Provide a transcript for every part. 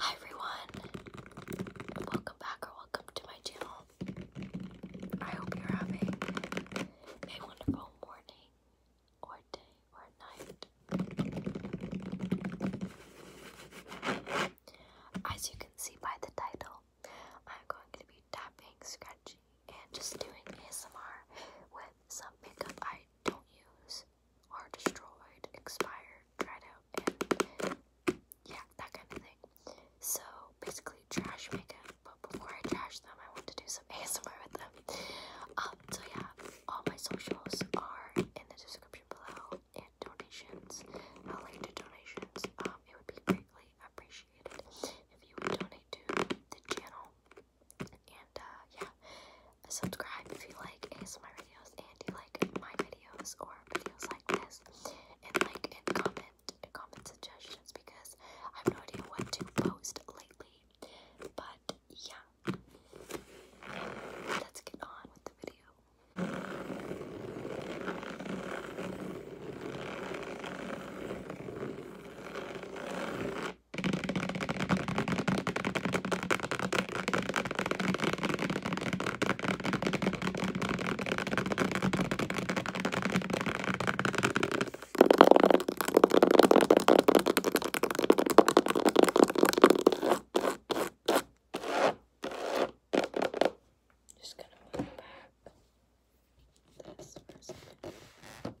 Hi everyone, welcome back or welcome to my channel. I hope you're having a wonderful morning, or day, or night. As you can see by the title, I'm going to be tapping, scratching, and just doing ASMR with some makeup I don't use are destroyed, expired, dried out, and yeah, that kind of thing. So basically, trash makeup. But before I trash them, I want to do some ASMR with them. Um, so yeah, all my socials are in the description below and donations. I'll link to donations. Um, it would be greatly appreciated if you would donate to the channel. And uh, yeah, subscribe if you like my videos and you like my videos or videos like this. And like and comment, comment suggestions because I have no idea what to post lately. But yeah, let's get on with the video. Just gonna move back this for a second.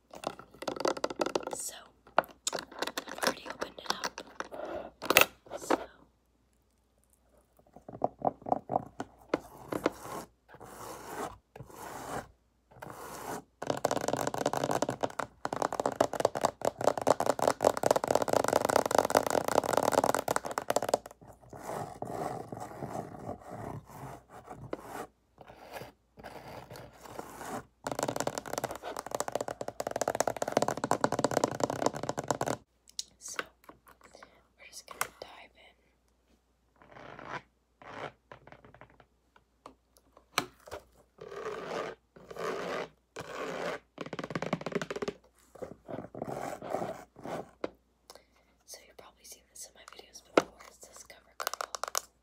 So, I've already opened it up. So, so we're just going to dive in. So you probably see seen this my videos before. It's this CoverGirl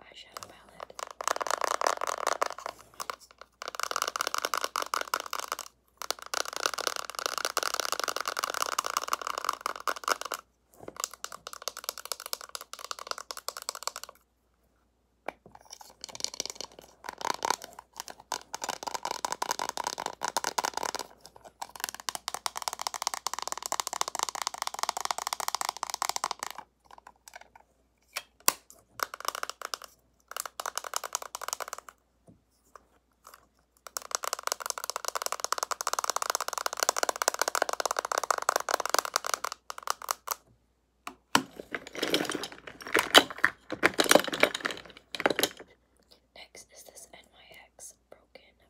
eyeshadow palette. Next is this NYX Broken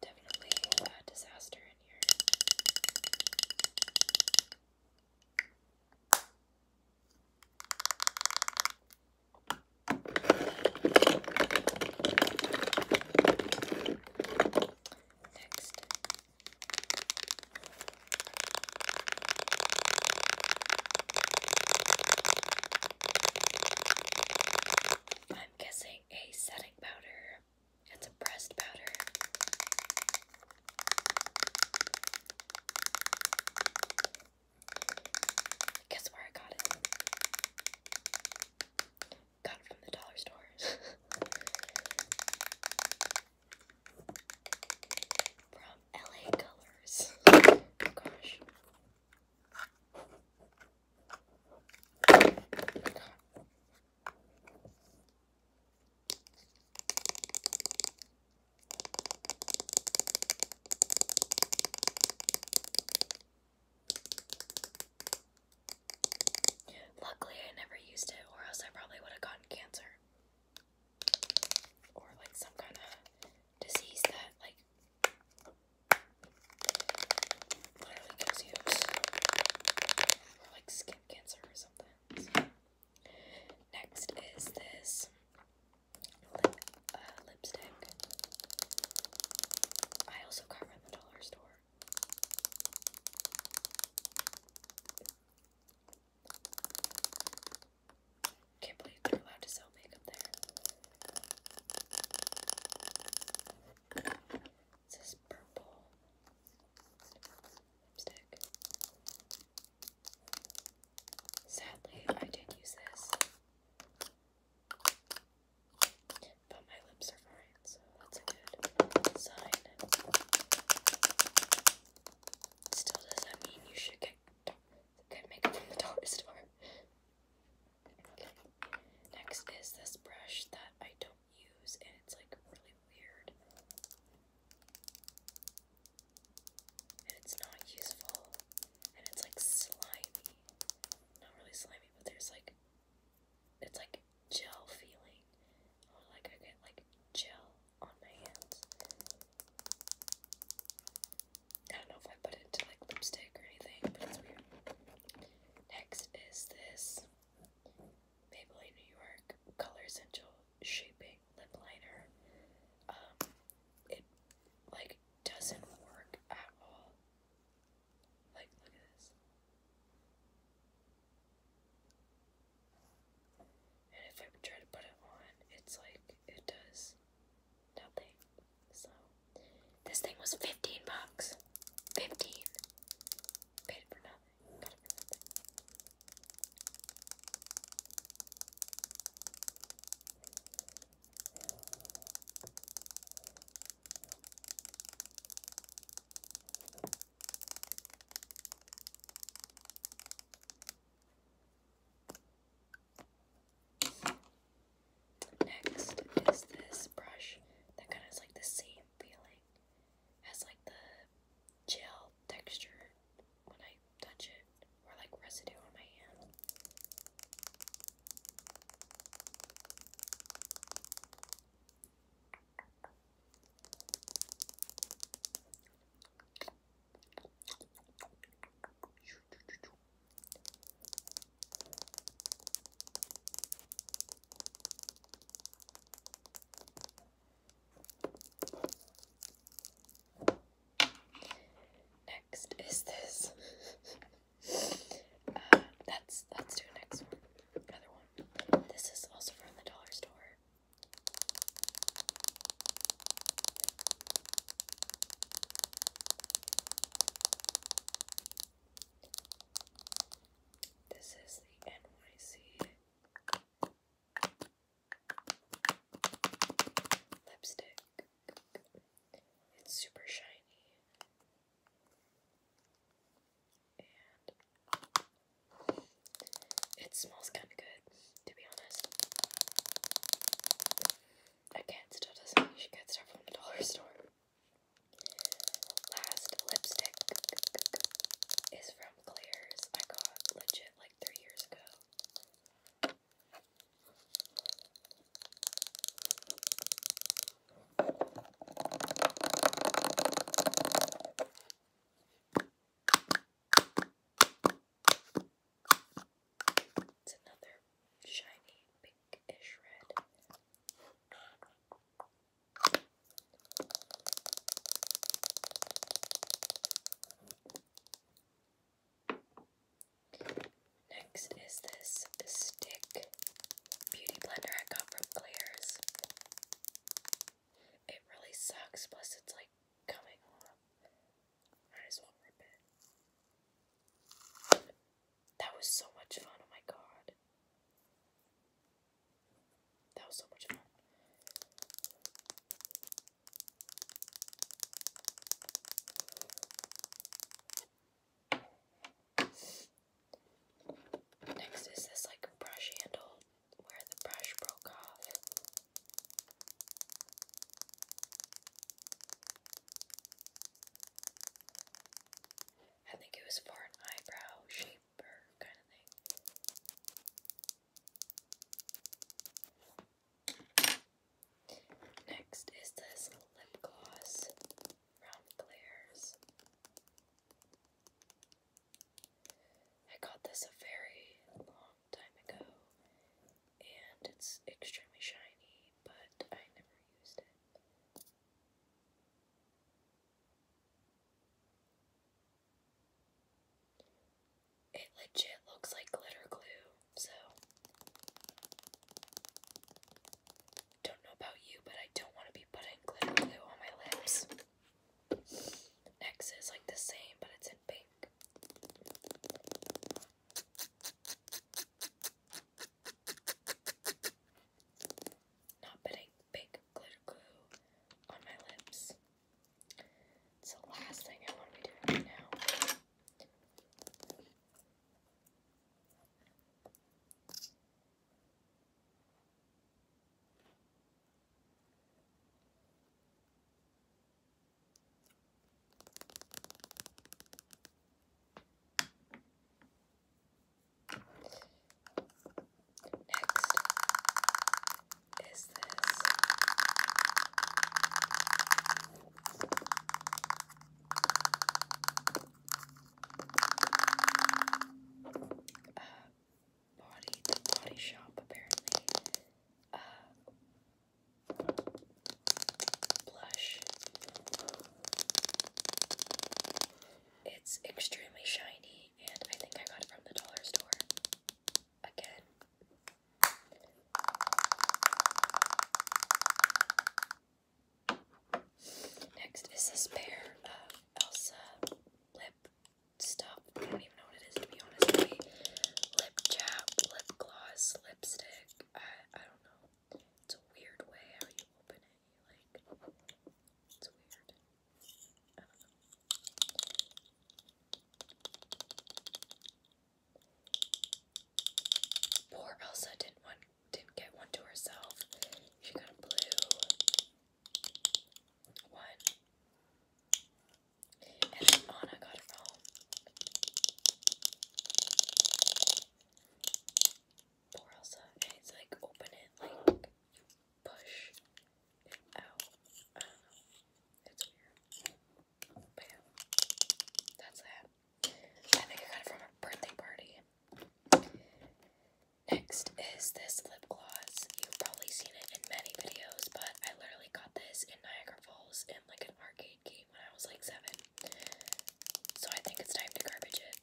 Definitely a disaster in here. Next. I'm guessing a setting powder and a pressed powder. Guess where I got it? Got it from the dollar store. from LA Colors. Oh gosh. Luckily, I never used it, or else I probably would have gotten cancer. Or, like, some kind of disease that like literally gives you like skin cancer or something. Next is this uh, lipstick. I also got from the dollar store. Can't believe they're allowed to sell makeup there. This purple lipstick. Sadly, I did use this. But my lips are fine, so that's a good sign. Still doesn't mean you should get, get makeup from the dollar store. Next is this brush that I don't use and it's like really weird. And it's not useful. And it's like slimy. Not really slimy, but there's like it's like gel feeling. Or like I get like gel on my hands. I don't know if I put it into like lipstick or anything, but it's weird. Next is this Maybelline New York Color Essential Shaping Lip Liner. Um, it like doesn't work at all. Like, look at this. And if I try to put it on, it's like it does nothing. So this thing was fifteen bucks. Fifteen. Paid for nothing. Next is this brush that kind of has like the same feeling. Has like the gel texture when I touch it, or like residue on my hand. Next is this. uh, that's let next Another one. This is also from the dollar store. This is the NYC lipstick. It's super shiny and it smells kind of good to be honest. Again, still doesn't you should get stuff from the dollar store. Last lipstick is from Claire's. I got legit like three years ago. It's another shiny pinkish red. Next is this stick beauty blender I got from Claire's. It really sucks, plus it's like coming off. Might as well rip it. That was so much fun, oh my god. That was so much fun. Next is this like brush handle where the brush broke off. I think it was for an eyebrow shaper kind of thing. Next is this lip gloss, round glares. I got this a very long time ago, and it's extremely shiny, but I never used it. It legit looks like glitter glue, so don't know about you, but I don't want to be putting glitter glue on my lips. X is like the same, but it's in pink. Not putting pink glitter glue on my lips. It's the last thing I want to be doing right now. Next is this. Uh, Body, the Body Shop, apparently. Uh, blush. It's extremely shiny, and I think I got it from the dollar store. Again. Next is this pair of Elsa lip stuff. I don't even know what it is to be honest. lip chap, lip gloss, lipstick. I I don't know. It's a weird way how you open it. You like it's weird. Poor Elsa didn't want didn't get one to herself. She got blue one. And then Anna got a phone. Poor Elsa. And it's like open it, like you push out. It's weird. But yeah. That's that. I think I got it from a birthday party. Next is this gloss. You've probably seen it in many videos, but I literally got this in Niagara Falls in like an arcade game when I was like seven. So I think it's time to garbage it.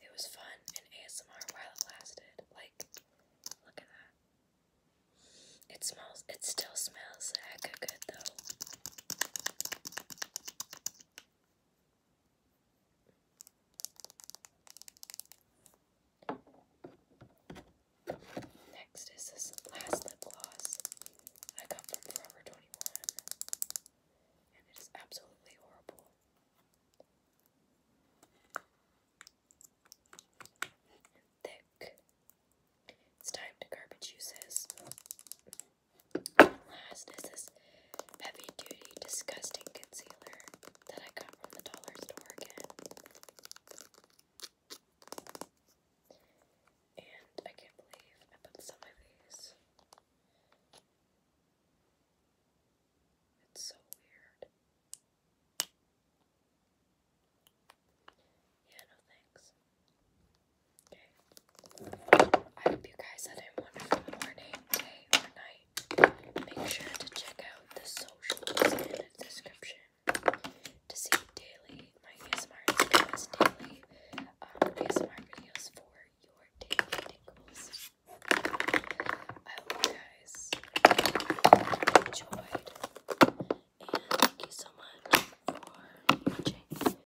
It was fun and ASMR while it lasted. Like, look at that. It smells, it still smells heck good though. Next is this last lip gloss I got from Forever 21, and it is absolutely horrible. thick. It's time to garbage uses. Last is this heavy duty disgusting concealer that I got from the dollar store again. And I can't believe I put some of these. It's so weird. Yeah, no thanks. Okay. I hope you guys had a wonderful morning, day, or night. Make sure to check out the socials in the description to see daily my ASMR videos, daily um, ASMR videos for your daily tingles. I hope you guys enjoyed, and thank you so much for watching.